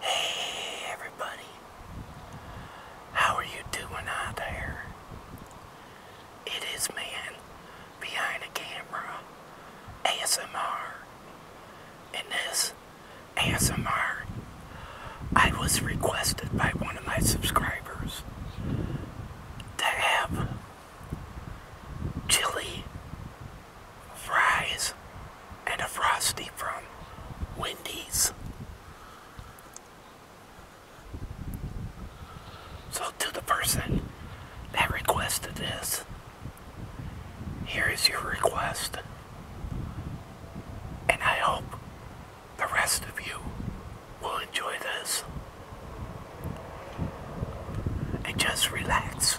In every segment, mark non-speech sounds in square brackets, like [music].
Hey everybody, how are you doing out there? It is man behind the camera, ASMR, and this ASMR I was requested by one of my subscribers to have chili fries and a frosty from Wendy's. So to the person that requested this, here is your request. And I hope the rest of you will enjoy this. And just relax.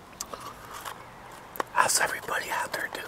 How's everybody out there doing?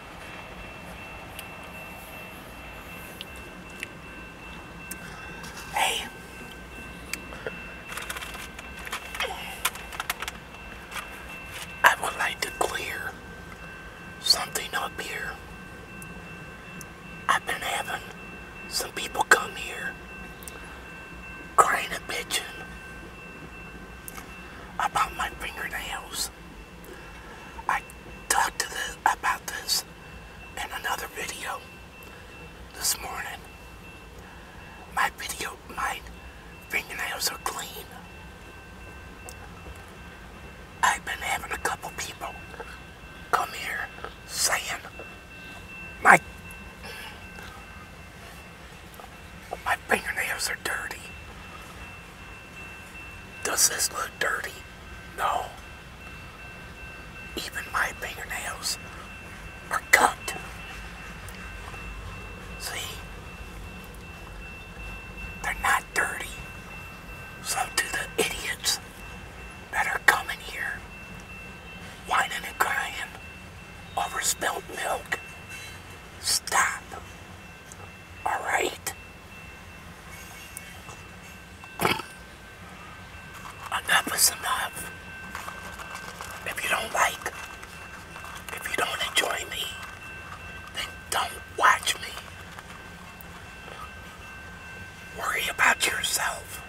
Hey. I would like to clear something up here. I've been having some people come here crying and bitching about my fingernails. I talked to the, about this in another video this morning. My video, my fingernails are clean. I've been having a couple people come here saying my my fingernails are dirty. Does this look dirty? No. Even my fingernails are cut. See? They're not dirty. So do the idiots that are coming here, whining and crying over spilt milk, stop. Alright? Enough is enough. If you don't like, if you don't enjoy me, then don't watch me. Worry about yourself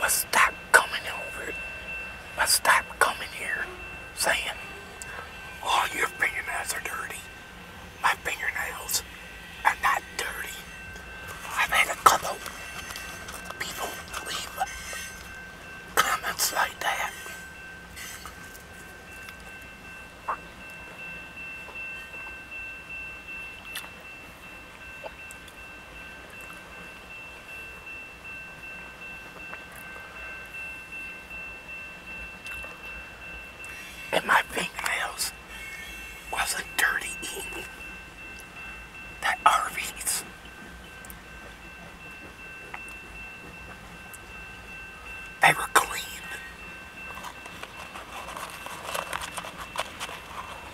but stop coming over, but stop coming here saying, all oh, your fingernails are dirty. My fingernails are not dirty. I've had a couple people leave comments like that. And my fingernails wasn't dirty eating that RV's they were clean.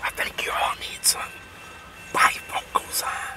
I think you all need some bifocals on.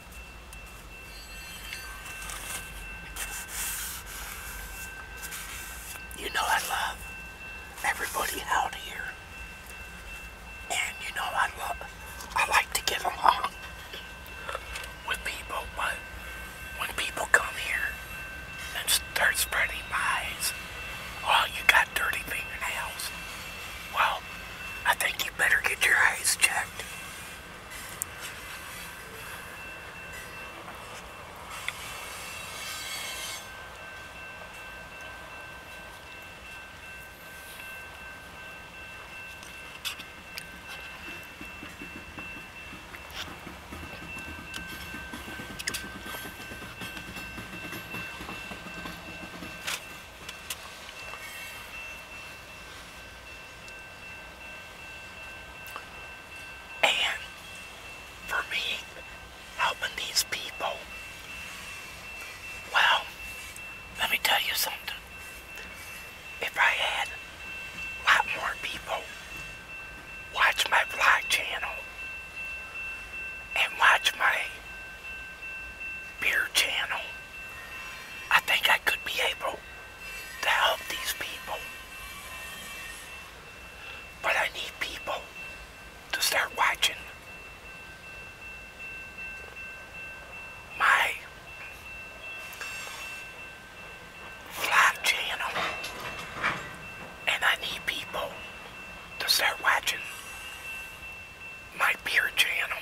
You know I love everybody out here. And you know I love I like to get along with people, but when people come here and start spreading lies, well oh, you got dirty fingernails. Well I think you better get your eyes checked. And for me, helping these people, well, let me tell you something. If I had a lot more people watch my vlog channel and watch my beer channel. I think I could be able to help these people. But I need people to start watching my fly channel. And I need people to start watching my beer channel.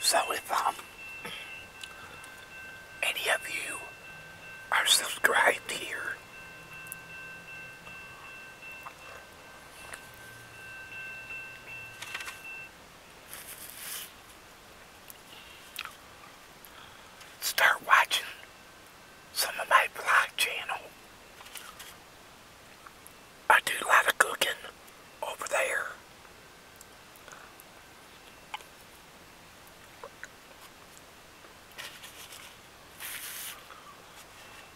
So if um, any of you are subscribed here, start watching some of my vlog channel. I do a lot of cooking over there.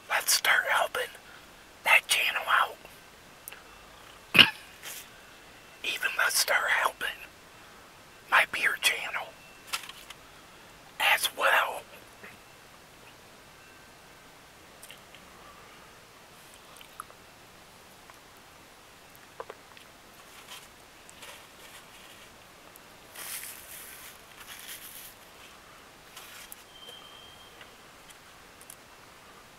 Let's start helping that channel out. Even let's start helping my beer channel as well.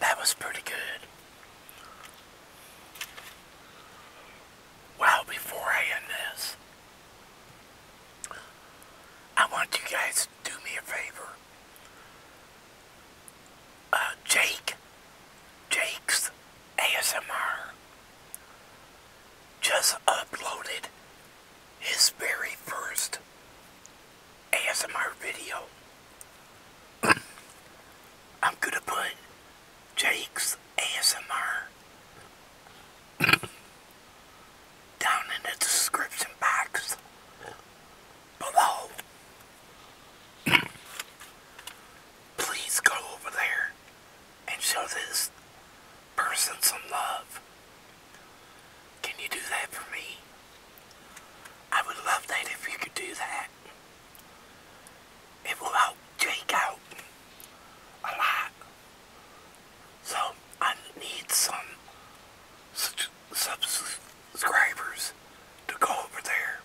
that was pretty good well before I end this, I want you guys to do me a favor. Uh, Jake, Jake's ASMR just uploaded his very first ASMR video. [clears throat] I'm gonna put Jake's ASMR [coughs] down in the description box below. [coughs] Please go over there and show this person some love. Can you do that for me? I would love that if you could do that it will help Jake out a lot. So I need some subscribers to go over there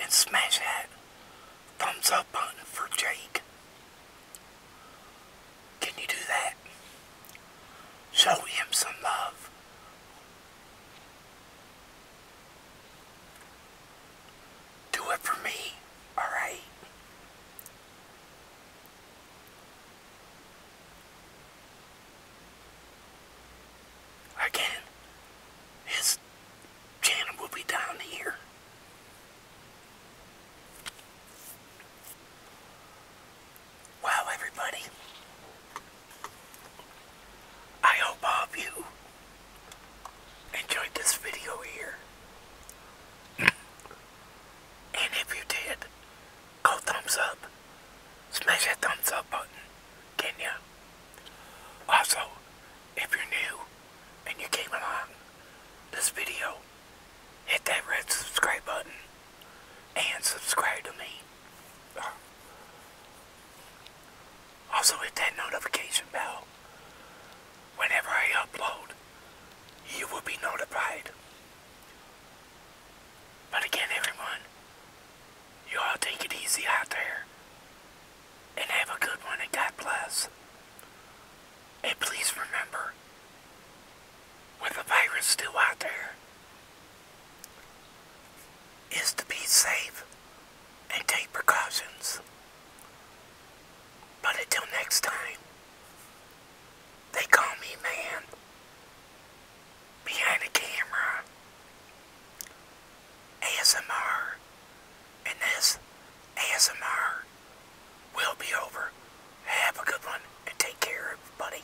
and smash that thumbs up button for Jake. Can you do that? Show him some love do it for me, alright? Again, his channel will be down here. Wow, everybody. I hope all you enjoyed this video here. and if you did, go thumbs up. Smash that thumbs up button, can ya? Also, if you're new and you came along this video, hit that red subscribe button and subscribe to me. Also hit that notification bell. Whenever I upload, you will be notified. But again, everyone, you all take it easy out there. And have a good one God bless. And please remember, with the virus still out there, is to be safe and take precautions. But until next time, they call me man behind the camera, ASMR, and this ASMR will be over. Have a good one and take care, everybody.